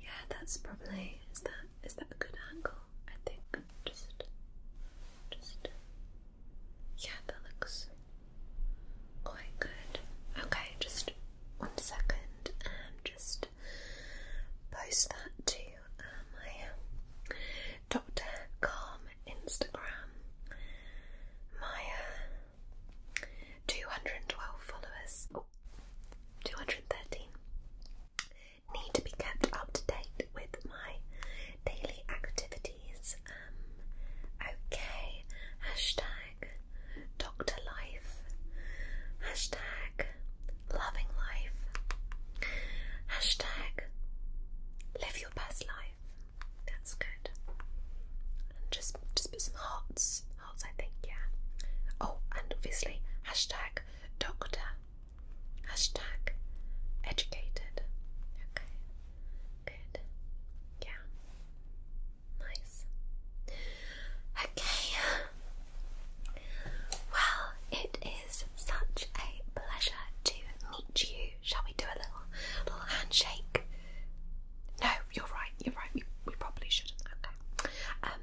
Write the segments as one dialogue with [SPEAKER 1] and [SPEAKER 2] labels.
[SPEAKER 1] yeah, that's probably is that is that a good angle? I think just, just, yeah, that looks quite good. Okay, just one second and um, just post that to um, my Dr. Calm Instagram. Maya, 212 followers. Oh, 213. Need to be kept up to date with my daily activities. Um, okay. Hashtag Doctor Life. Hashtag Loving Life. Hashtag Live your best life. That's good. And just just put some hearts. Hearts, I think, yeah. Oh, and obviously hashtag doctor. Hashtag educated. Okay. Good. Yeah. Nice. Okay. Well, it is such a pleasure to meet you. Shall we do a little little handshake? No, you're right, you're right, we, we probably shouldn't. Okay. Um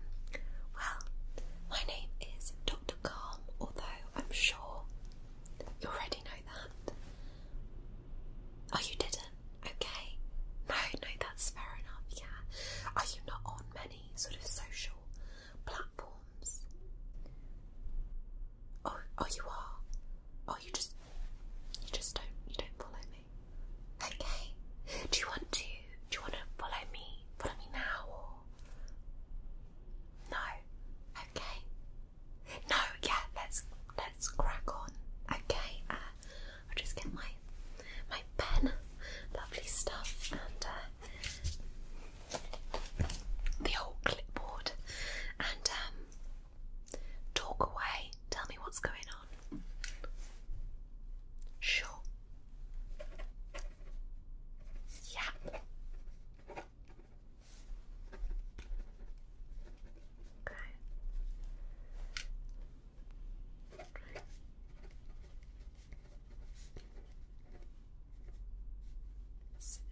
[SPEAKER 1] well, my name is Dr. Calm, although I'm sure you already know that. Oh you didn't? Okay. No, no, that's fair enough, yeah. Are you not on many sort of social platforms? Oh, oh, you are. Oh, you just, you just don't, you don't follow me. Okay. Do you want to? Do you want to follow me? Follow me now, or no? Okay. No. Yeah. Let's let's crack on. Okay. Uh, I'll just get my my pen. Lovely stuff. And uh, the old clipboard and um, talk away. Tell me what's going on. Sure. Yeah. Okay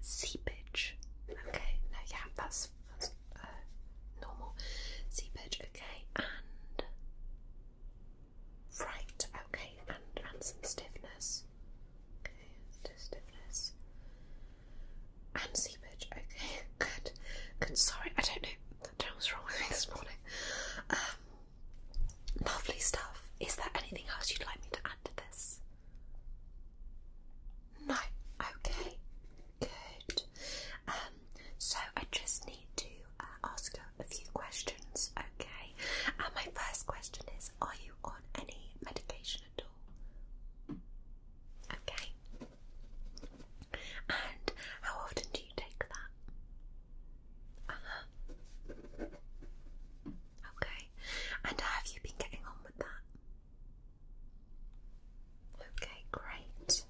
[SPEAKER 1] seepage. Okay, no, yeah, that's, uh, normal. Seepage, okay, and fright, okay, and, and some stiffness. Okay, stiffness. And seepage, okay, good. Good, sorry, I don't know, I don't know what's wrong with me this morning. Um, lovely stuff. Is there anything else you'd like me to add to this? No, okay, good. Um, so I just need to uh, ask you a few questions, okay? And my first question is Are you on any medication at all? Okay. And how often do you take that? Uh huh. Okay. And have you been getting on with that? Okay, great.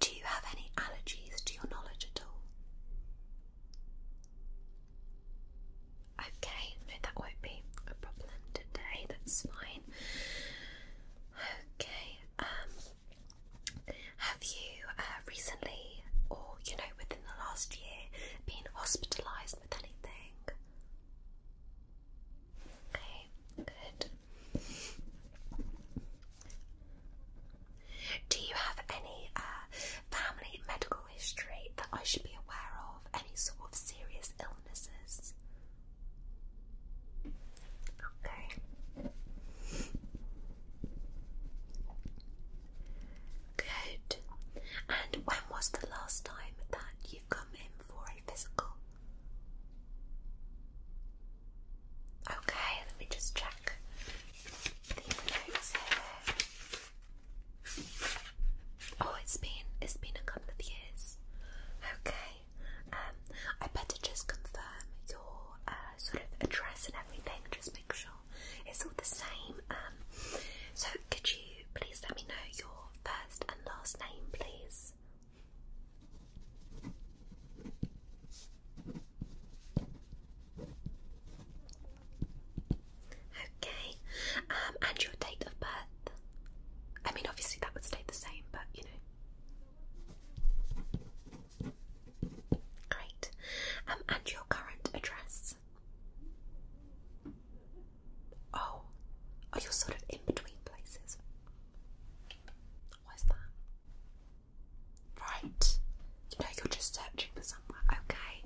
[SPEAKER 1] Do you have any allergies to your knowledge at all? Okay, no, that won't be a problem today, that's fine. Okay, um, have you uh, recently or you know within the last year been hospitalised with anything? Okay, good. Do you have any uh, family medical history that I should be aware of? Any sort of serious illnesses? Okay. Good. And when was the last time that you've come in for a physical? Okay, let me just check the notes here. Oh, it's been it's been a couple of years. Okay. Um, I better just confirm your uh, sort of address and everything. Just make sure it's all the same. Um, so could you please let me know your first and last name, please? Okay, um, and your date of birth? I mean, obviously that would stay the same, but you know. Great. Um, and your current address? this? Oh, oh, you sort of in between places. What's that? Right. You know, you're just searching for somewhere. Okay.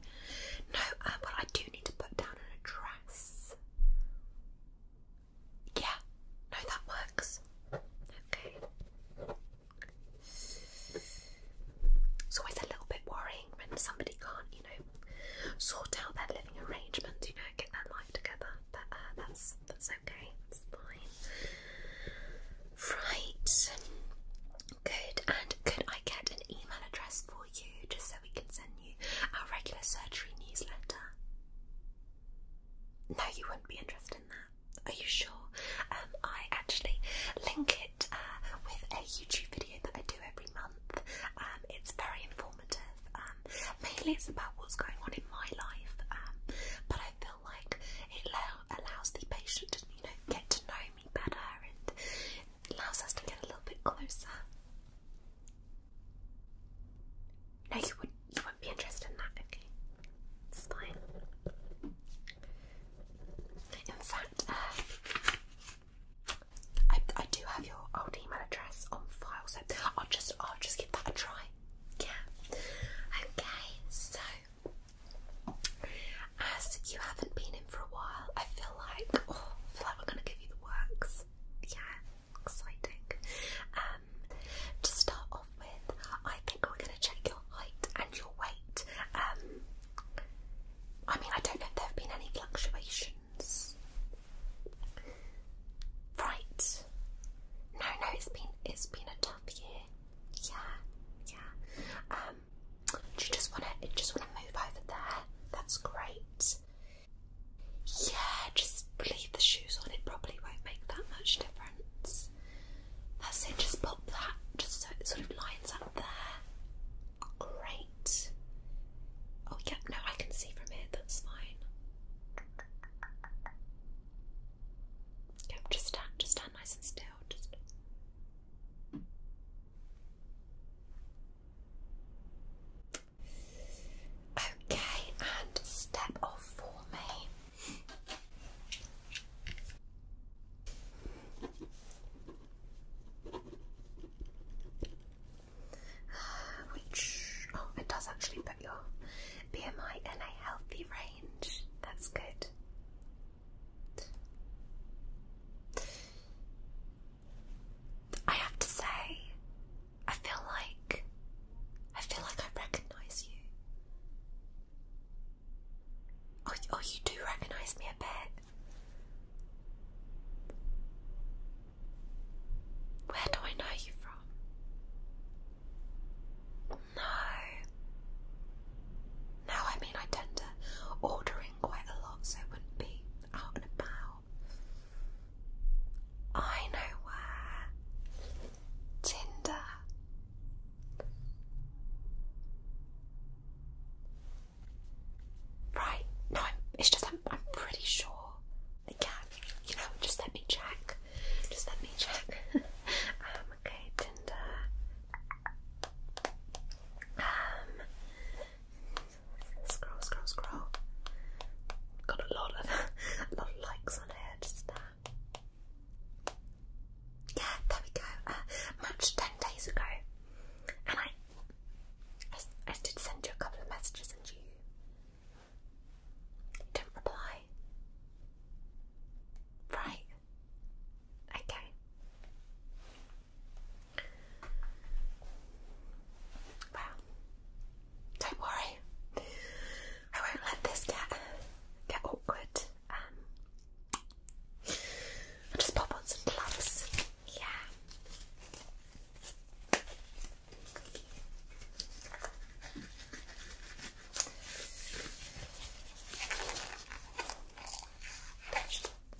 [SPEAKER 1] No, um, well, I do need to put down an address. Yeah. No, that works. Okay. It's always a little bit worrying when somebody can't, you know, sort out their living arrangements, you know, get their life together. But, uh, that's that's okay, that's fine. Right. Good. And could I get an email address for you just so we can send you our regular surgery newsletter? No, you wouldn't be interested in that. Are you sure? Um, I actually link it. Uh, with a YouTube video that I do every month. Um, it's very informative. Um, mainly it's about what's going on in my life, um, but I feel like it allows the patient to you know get to know me better and allows us to get a little bit closer. No, you wouldn't. You wouldn't be interested in that. Okay, it's fine. In fact, uh, I, I do have your old email address on file, so I'll just I'll just give that a try. Yeah. Okay. So, as you haven't been in for a while, I feel like oh, feel like we're gonna give you the works. Yeah, exciting. Um, to start off with, I think we're gonna check your height and your weight. Um, I mean, I don't know if there have been any fluctuations. Right. No, no, it's been it's been a tough year. Yeah, yeah. Um, do you just wanna just wanna move over there? That's great. Yeah, just leave the shoes on. It probably won't make that much difference. That's it. Just pop that just so it sort of lines up there. Great. Oh, yeah, no, I can see from here, that's fine. Yep, just stand, just stand nice and still. Just... Okay, and step off for me. which oh, it does actually put your BMI in a healthy range. That's good. I have to say, I feel like I feel like I recognise you. Oh, oh, you do recognise me a bit. Where do I know you from? No. No, I mean, I tend to order in quite a lot, so it wouldn't be out and about. I know where. Tinder. Right? No, it's just I'm, pretty sure I can. You know, just let me check. Just let me check. Um, okay, Tinder. Um, scroll, scroll, scroll. Got a lot of a lot of likes on here. Just uh, yeah, there we go. Uh, matched ten days ago, and I I, I did send you a couple of messages and you didn't reply. Right. Okay. Well, don't worry. I won't let this get get awkward. Um, just pop on some gloves. Yeah.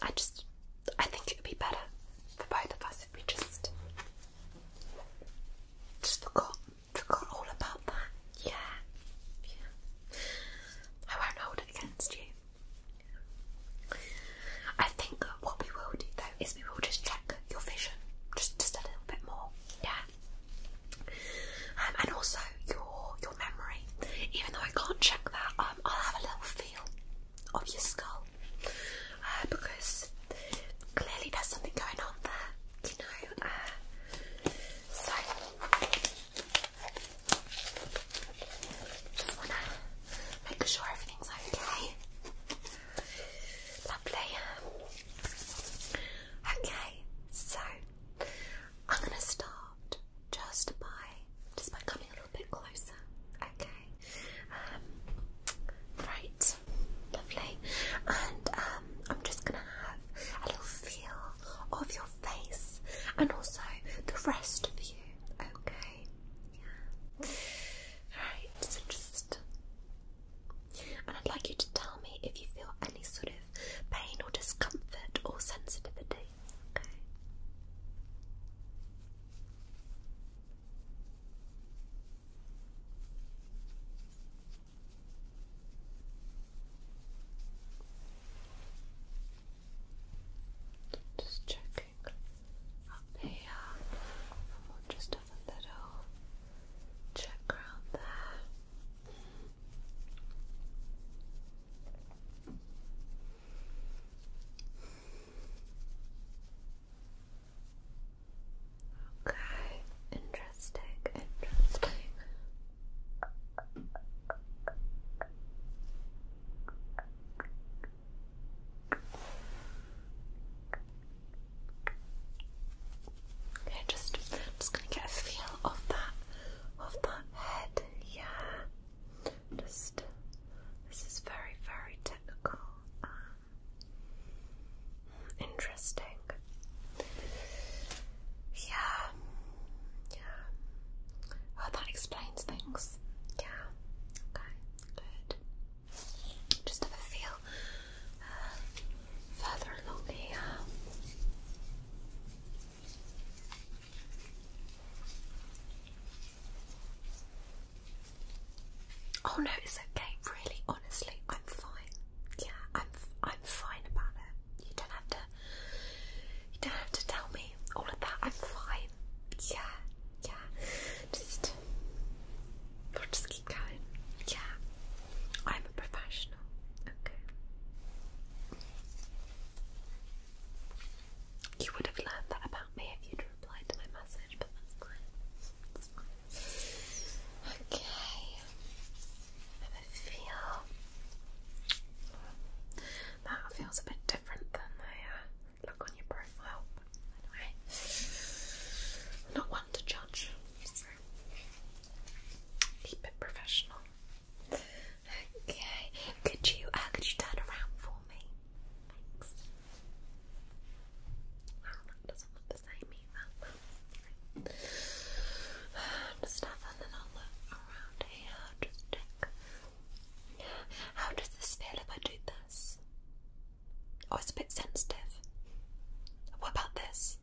[SPEAKER 1] I just, I think it would be better for both of us if we just, just forgot, forgot all about that. Yeah, I won't hold it against you. I think what we will do though is we will just check your vision just just a little bit more, yeah. Um, and also your your memory. Even though I can't check that, um, I'll have a little feel of your skull uh, because clearly there's something going on there, you know. Uh, so just wanna make sure everything's okay. Lovely. Okay, so I'm going to start just by just by coming a little bit closer. Okay. Um, right. Lovely. And um, I'm just going to have a little feel of your face and also the rest of you. Okay right? Yeah. And I'd like you to tell me if you feel any sort of pain or discomfort or sensitivity, okay? Just check up here, and just a little check around there. Okay, interesting, interesting. Okay, just just gonna get a feel of that of that head, yeah. Just this is very, very technical. Um, interesting. Yeah. Yeah. Oh, that explains things. Yeah. Okay. Good. Just have a feel uh, further along here. Uh, oh no, it's okay. Really, honestly, I'm fine. Yeah, I'm I'm fine about it. You don't have to. You don't have to tell me all of that. I'm fine. Yeah, yeah. Just We'll just keep going. Yeah. I'm a professional. Okay. You would have learned that about me if you'd replied to my message, but that's fine. That's fine. Okay. I feel that feels a bit different than the look on your profile. Anyway, I'm not one to judge. keep it professional. Okay, could you uh, could you turn around for me? Thanks. Wow, that doesn't look the same either. Just have a little look around here. Just check. How does this feel if I do this? Oh, it's a bit sensitive. What about this?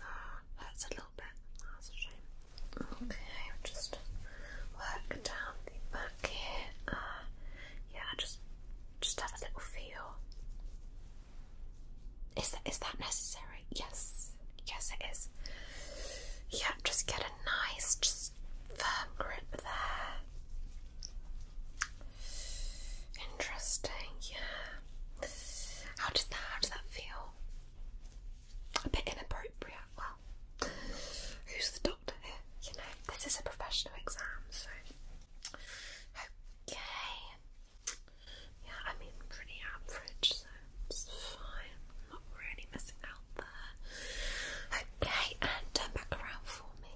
[SPEAKER 1] Oh, hurts a little bit. that's a shame. Okay, I'll just work down the back here. Uh, yeah, just just have a little feel. Is that is that necessary? Yes, yes it is. Yeah, just get a nice, just nice firm grip there. Interesting, yeah. How does that how does that feel? A bit inappropriate. Well, who's the doctor here? You know, this is a professional exam, so okay. Yeah, I mean pretty average, so fine. not really missing out there. Okay, and turn back around for me.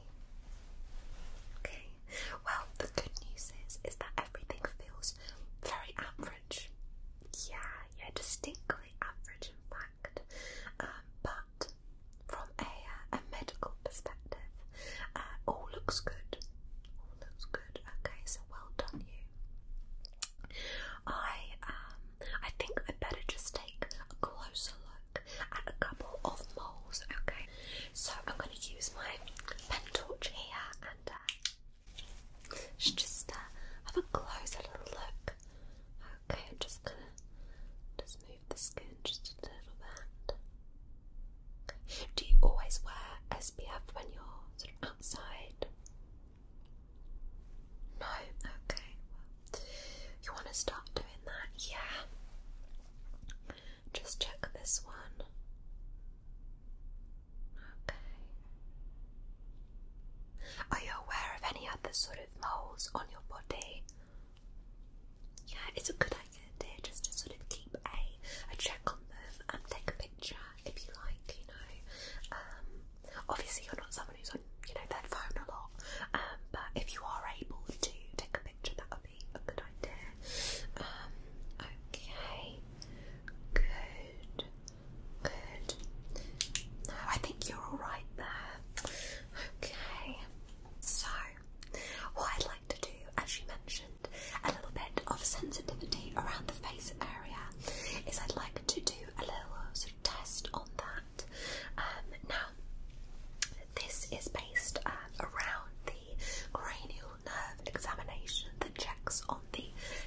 [SPEAKER 1] Okay, well, the good news is, is that everything feels very average. Yeah, yeah, distinctly average, in fact. Um, but from a, uh, a medical perspective, uh, all looks good. All looks good. Okay, so well done, you. I um, I think I better just take a closer look at a couple of moles, okay? So I'm going to use my pen torch here and uh, just uh, have a closer look. Okay, I'm just going to just move the skin just a little bit. Do you always wear SPF when you're outside? No? Okay, you want to start doing that? Yeah. Just check this one. Okay. Are you aware of any other sort of moles on your body? Yeah, it's a good idea, just to sort of keep a, a check on them and take a picture if you like, you know. Um, obviously, you're not someone who's on, you know, their phone a lot um, but if you are able to take a picture, that would be a good idea. Um, okay, good, good. No, I think you're all right there. Okay, so what I'd like to do, as you mentioned, a little bit of sensitivity around the face area, is I'd like to do a little sort of test on that. Um, now, this is based uh, around the cranial nerve examination that checks on the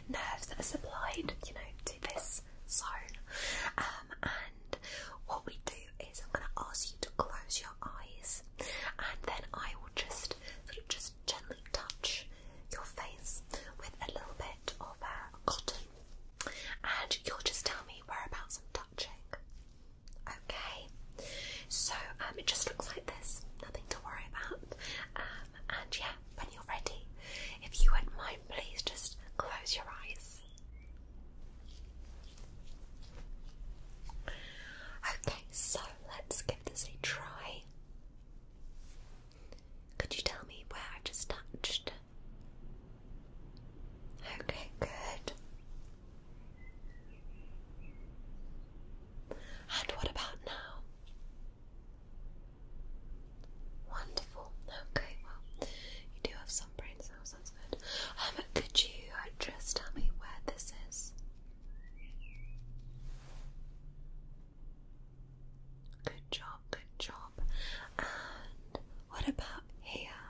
[SPEAKER 1] nerves that are supplied, you know, to this zone. Um, and what we do is I'm going to ask you to close your eyes, and then I will just just gently touch your face with a little bit of uh, cotton, and you'll just tell me whereabouts I'm touching. Okay, so um, it just looks like this, nothing to worry about. Um, and yeah, when you're ready, if you wouldn't mind, please just close your eyes. Okay, so let's give this a try. Could you tell me where I just touched? Okay, good. And what about now? Wonderful. Okay, well, you do have some brain cells, that's good. Um, could you uh, just tell me where this is? Good job, good job. What about here?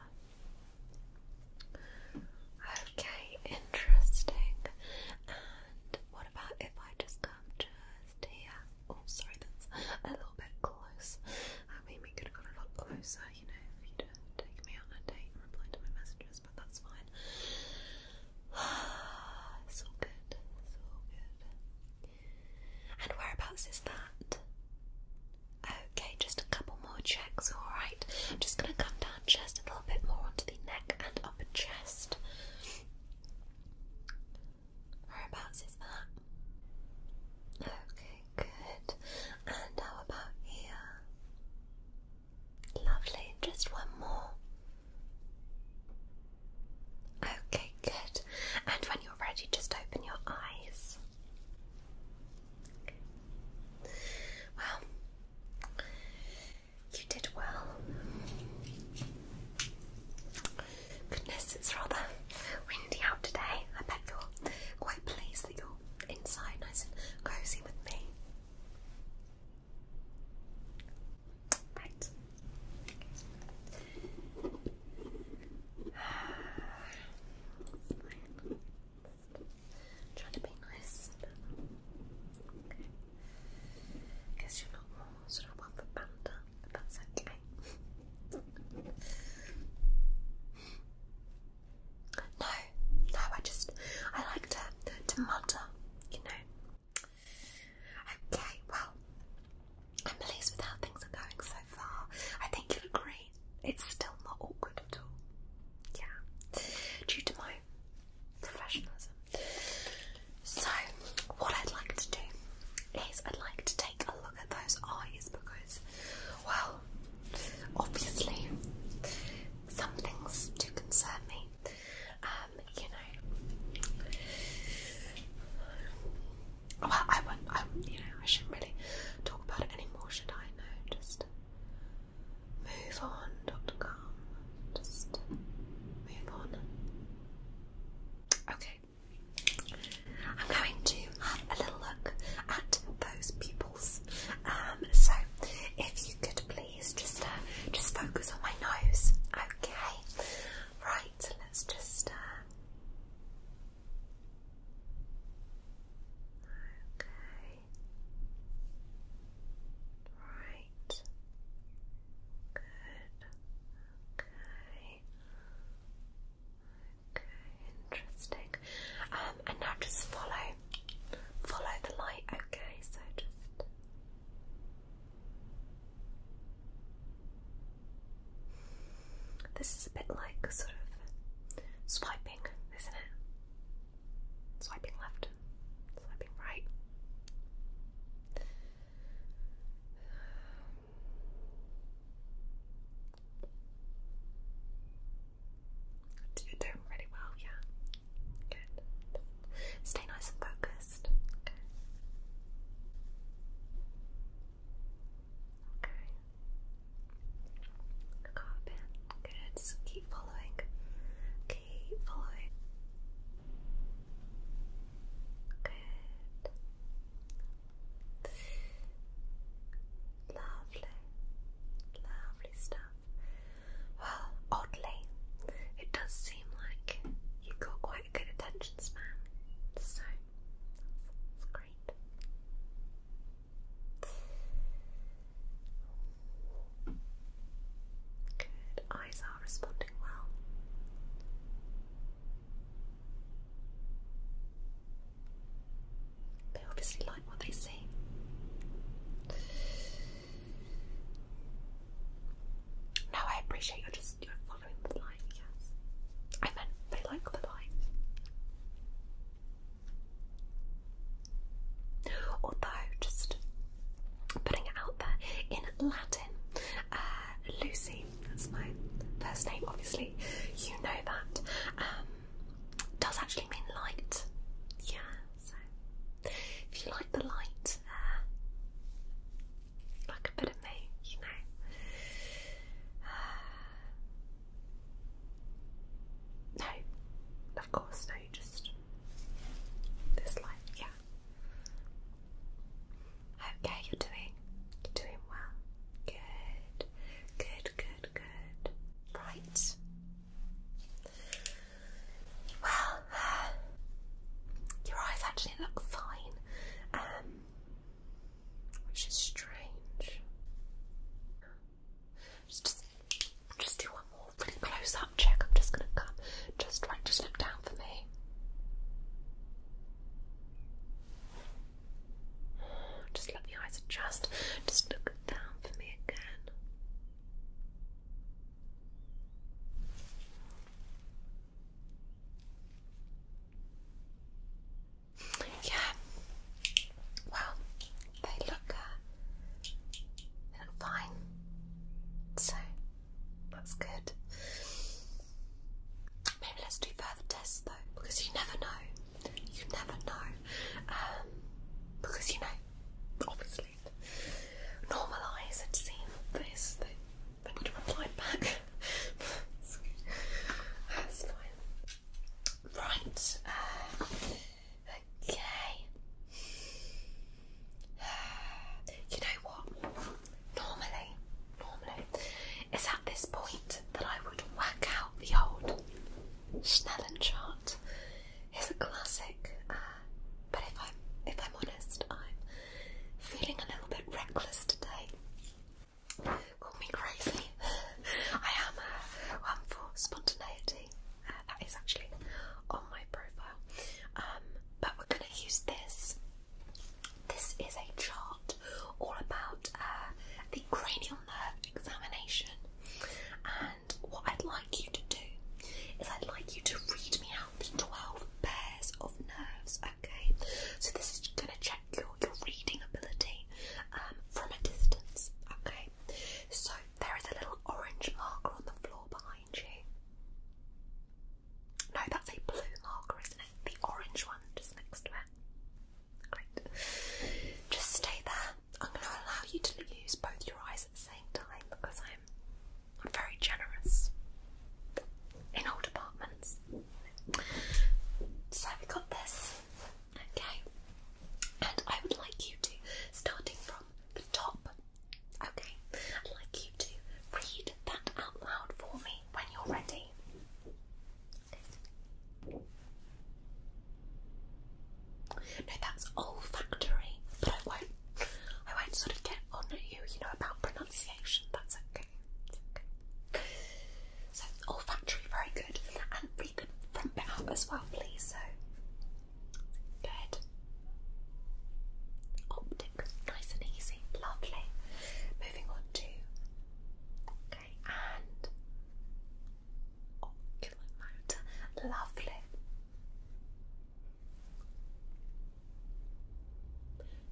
[SPEAKER 1] Okay, interesting. And what about if I just come just here? Oh, sorry, that's a little bit close. I mean, we could have gone a lot closer, you know, if you'd taken me on a date and replied to my messages, but that's fine. it's good, it's good. And whereabouts is that? Okay, just a couple more checks, alright. I'm just going to come down chest a little bit more onto the neck and upper chest. Whereabouts is that? Okay, good. And how about here? Lovely, just one more. Okay, good. And when you're ready, just open your eyes. Well, you did well. Goodness, it's rather windy out today. I bet you're quite pleased that you're inside, nice and cozy with me. Right. I'm to be nice, Guess you're not more sort of one for but that's okay. no, no, I just I like to to mutter, you know. Okay, well, I'm pleased with how things are going so far. I think you'll agree it's still not awkward at all. Yeah. Due to my professionalism. So, what I'd like to do is I'd like to take a look at those eyes because, well, obviously, some things do concern me. Um, you know. Well, I won't, I, you know, I shouldn't really talk about it anymore, should I? No, just Move on, moveon.com. Just move on. Okay. I'm going to have a little look at those pupils. Um, so if you could please just uh, just focus on my nose. Okay. Right, let's just uh Okay. Right. Good. Okay. Okay, interesting. Um, and now just follow, follow the light. Okay, so just. This is a bit like sort of swiping, isn't it? swiping left, swiping right. doing really well, yeah. Good. Stay nice and focused. Okay. Okay. Good. keep following. Keep following. Good. Lovely. Lovely stuff. Well, oddly, it does seem like you got quite a good attention span. So that's great. Good. Eyes are responding well. They obviously like what they see. No, I appreciate you just you're following the light, yes. I meant they like the light. Although, just putting it out there, in Latin, uh, Lucy, that's my first name, obviously, you know that, um, does actually mean light. Yeah, if you like the light, uh, like a bit of me, you know. Uh, no, of course, no, just this light, yeah. Okay, you're doing, you're doing well. Good, good, good, good. Right. Well, your eyes actually look fine, um, which is strange. Just, just, just do one more really close up check. I'm just gonna come. Just right, just look down for me. Just let the eyes adjust. Just look down for me again. Yeah, well, uh, they look fine. So that's good. Maybe let's do further tests though, because you never know. You never know. Um, because you know, obviously, normal eyes had seen this, they, would have replied back. that's, fine. Right. Uh, Okay. You know what? Normally, normally, it's at this point that I would work out the old Schnellen chart. It's a classic, uh, but if I'm if I'm honest, I'm feeling a little bit reckless today. Call me crazy. I am one uh, for spontaneity that is actually on my profile. Um, but we're going to use this. This is a chart all about uh, the cranial nerve examination. And what I'd like you to do is I'd like you to read me out the 12 pairs of nerves, okay? So this is going to check your, your reading ability um, from a distance, okay? so there is a little orange marker on the floor behind you. No, that's a blue marker, isn't it? The orange one just next to it. Great. Just stay there. I'm going to allow you to use both your eyes at the same time because I'm, I'm very generous in all departments. So we got this. Okay, and I would like you to, starting from the top, okay, I'd like you to read that out loud for me when you're ready. No, that's olfactory, but I won't. I won't sort of get on at you, you know, about pronunciation. That's okay. So olfactory, very good. And read them from bit out as well, please. So Good. Optic, nice and easy, lovely. Moving on to okay and oculomotor, lovely.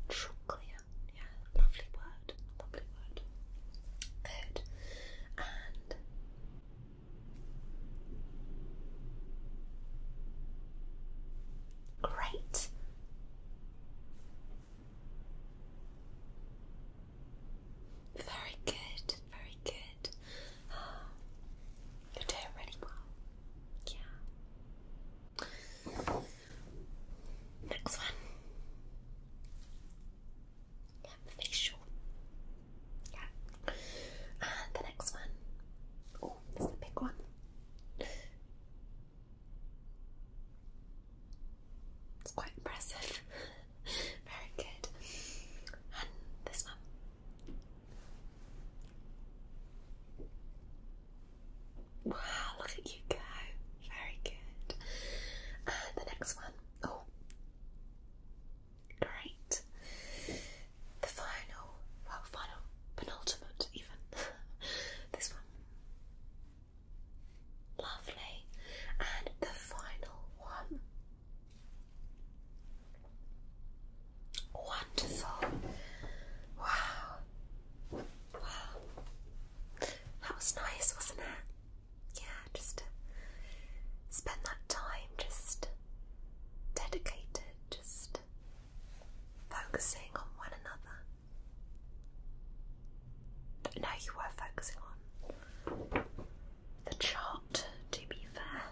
[SPEAKER 1] Trochlear, yeah, lovely word, lovely word. Good and Great. Very good, very good. You're doing really well. Yeah. Next one. Yeah, facial. Yeah. And the next one. Oh, this a big one. It's quite impressive. Very good. And this one. Wow, look at you go. Very good. And the next one. Oh. Great. The final, well, final, penultimate, even. this one. Lovely. And the final one. Wonderful. Wow. Wow. That was nice, wasn't it? Yeah just spend that time just dedicated, just focusing on one another. No, you were focusing on the chart, to be fair.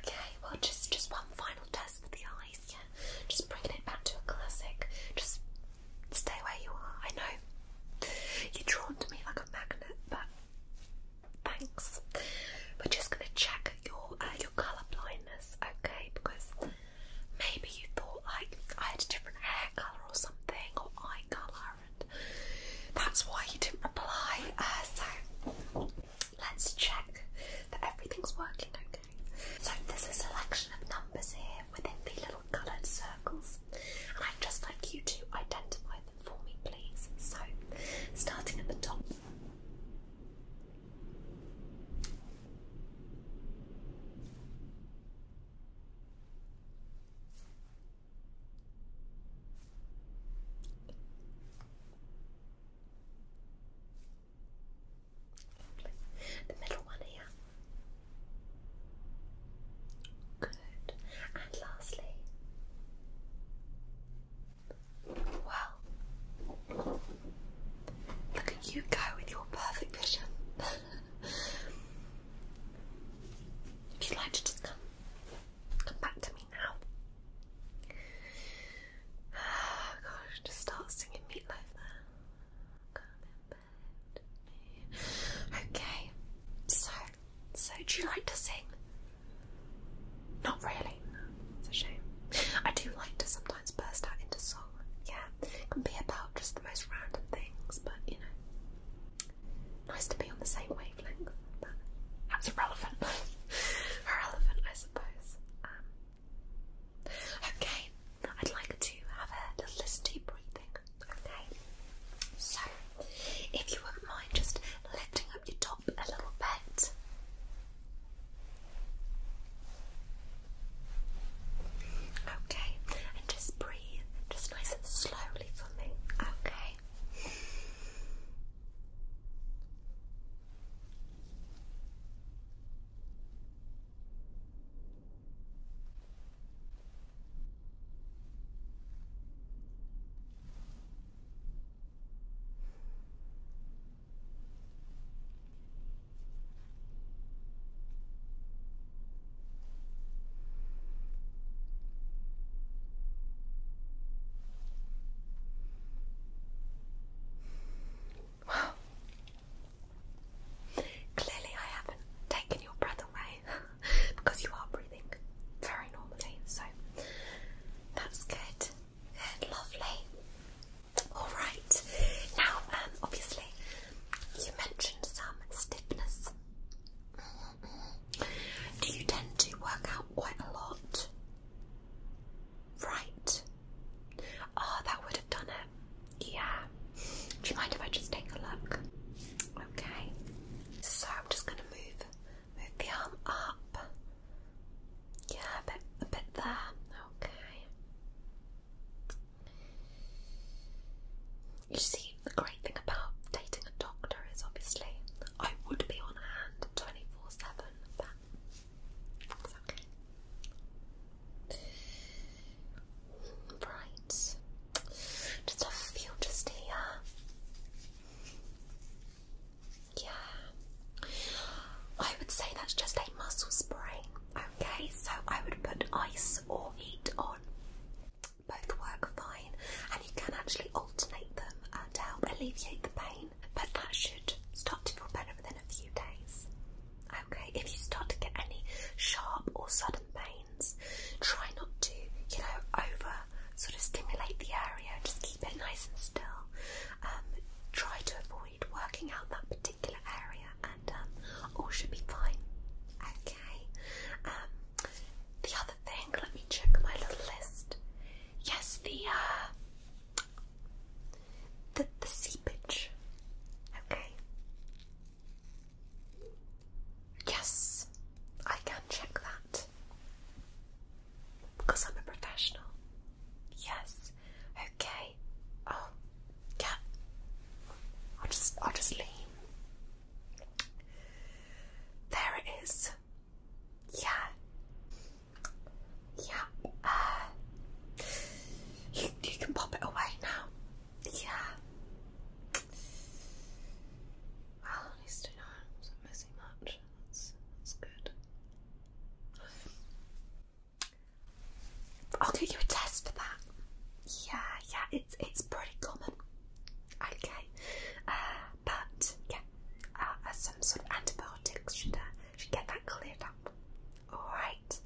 [SPEAKER 1] Okay, well, just just one final test for the eyes, yeah. Just bringing it back to a classic. Just Stay where you are. I know you're drawn to me like a magnet, but thanks. We're just gonna check your uh, your colour blindness, okay? Because maybe you thought like I had a different hair colour or something, or eye colour, and that's why you didn't reply. Uh, so let's check that everything's working okay. So there's a selection of numbers here within the little coloured circles. I'd just like you to identify them for me, please. So, starting at the top. The middle one here. Good. And lastly, well, look at you go with your perfect vision. if you'd like to just come, come back to me now. gosh, just start singing meatloaf Okay, so so, do you like to sing? Not really. It's a shame. I do like to sometimes burst out into song. Yeah, it be about just the most random things, but you know, nice to be on the same wavelength. that's irrelevant. irrelevant, I suppose. Um, okay, I'd like to have a little listen to breathing. Okay, so if you wouldn't mind just lifting up your top a little bit. Okay, and just breathe just nice and slowly for me. Okay. Wow. Clearly, I haven't taken your breath away. because you are breathing very normally, eh? so that's good. Good, lovely. Alright, now um, obviously you mentioned some stiffness. Do you tend to work out quite a lot? Right. Ah, oh, that would have done it. Yeah. Do you mind if I just take a look? Okay. So I'm just going to move move the arm up. Yeah, a bit, a bit there. Okay. You see, the great thing about dating a doctor is obviously I would be on hand 24 7, but Right. Just a few just here. Uh, yeah. I would say that's just a muscle sprain. Okay, so I would put ice or heat on. Both work fine, and you can actually alternate them uh, to help alleviate the pain. But that should start to feel better within a few days. Okay, if you start to get any sharp or sudden pain, Try not to, you know, over sort of stimulate the area. Just keep it nice and still. Um, try to avoid working out that particular area, and um, all should be fine. Okay. Um, the other thing, let me check my little list. Yes, the uh, the the seepage. Okay. Yes, I can check that. Because I'm a professional. Yes. Okay. Oh, yeah. I'll just I'll just lean. There it is. Yeah. Yeah. Uh, you you can pop it away now. Yeah. Well, I know not missing much. That's, that's good. I'll get you a test for that. Yeah, yeah, it's it's pretty common. Okay, uh, but yeah, uh, some sort of antibiotics should uh, get that cleared up. All right,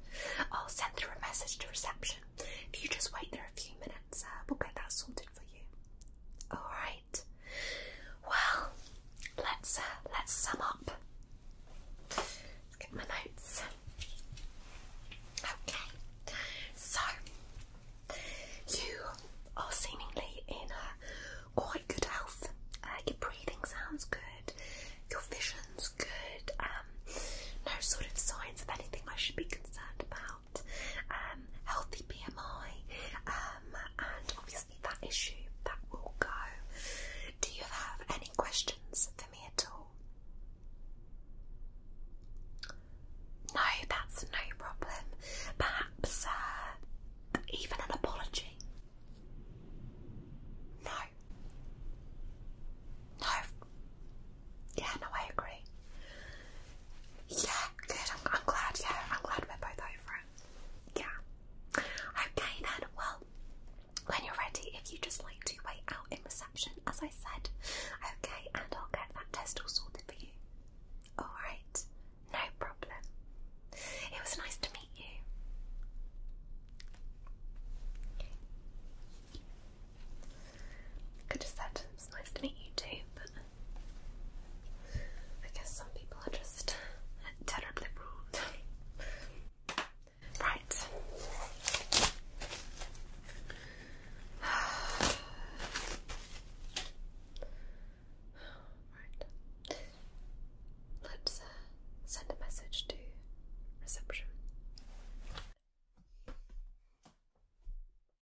[SPEAKER 1] I'll send through a message to reception. If you just wait there a few minutes, we'll get that sorted for you. All right. Well, let's uh, let's sum up. get my notes. Okay. So you are seemingly in quite good health. Uh, your breathing sounds good. Your vision's good. Um, no sort of signs of anything I should be concerned about. Um, healthy BMI um, and obviously that issue that will go. Do you have any questions for me at all? No, that's no problem. Perhaps uh, even an apology. No. No, yeah, no, I agree. Yeah, good. I'm, glad. Yeah, I'm glad we're both over it. Yeah. Okay then. Well, when you're ready, if you just like to wait out in reception, as I said, okay, and I'll get that test all sorted for you. All right. No problem. It was nice to meet you. Could have said it nice to meet you too, I guess some people are just terribly rude. Right. right. Let's uh, send a message to reception.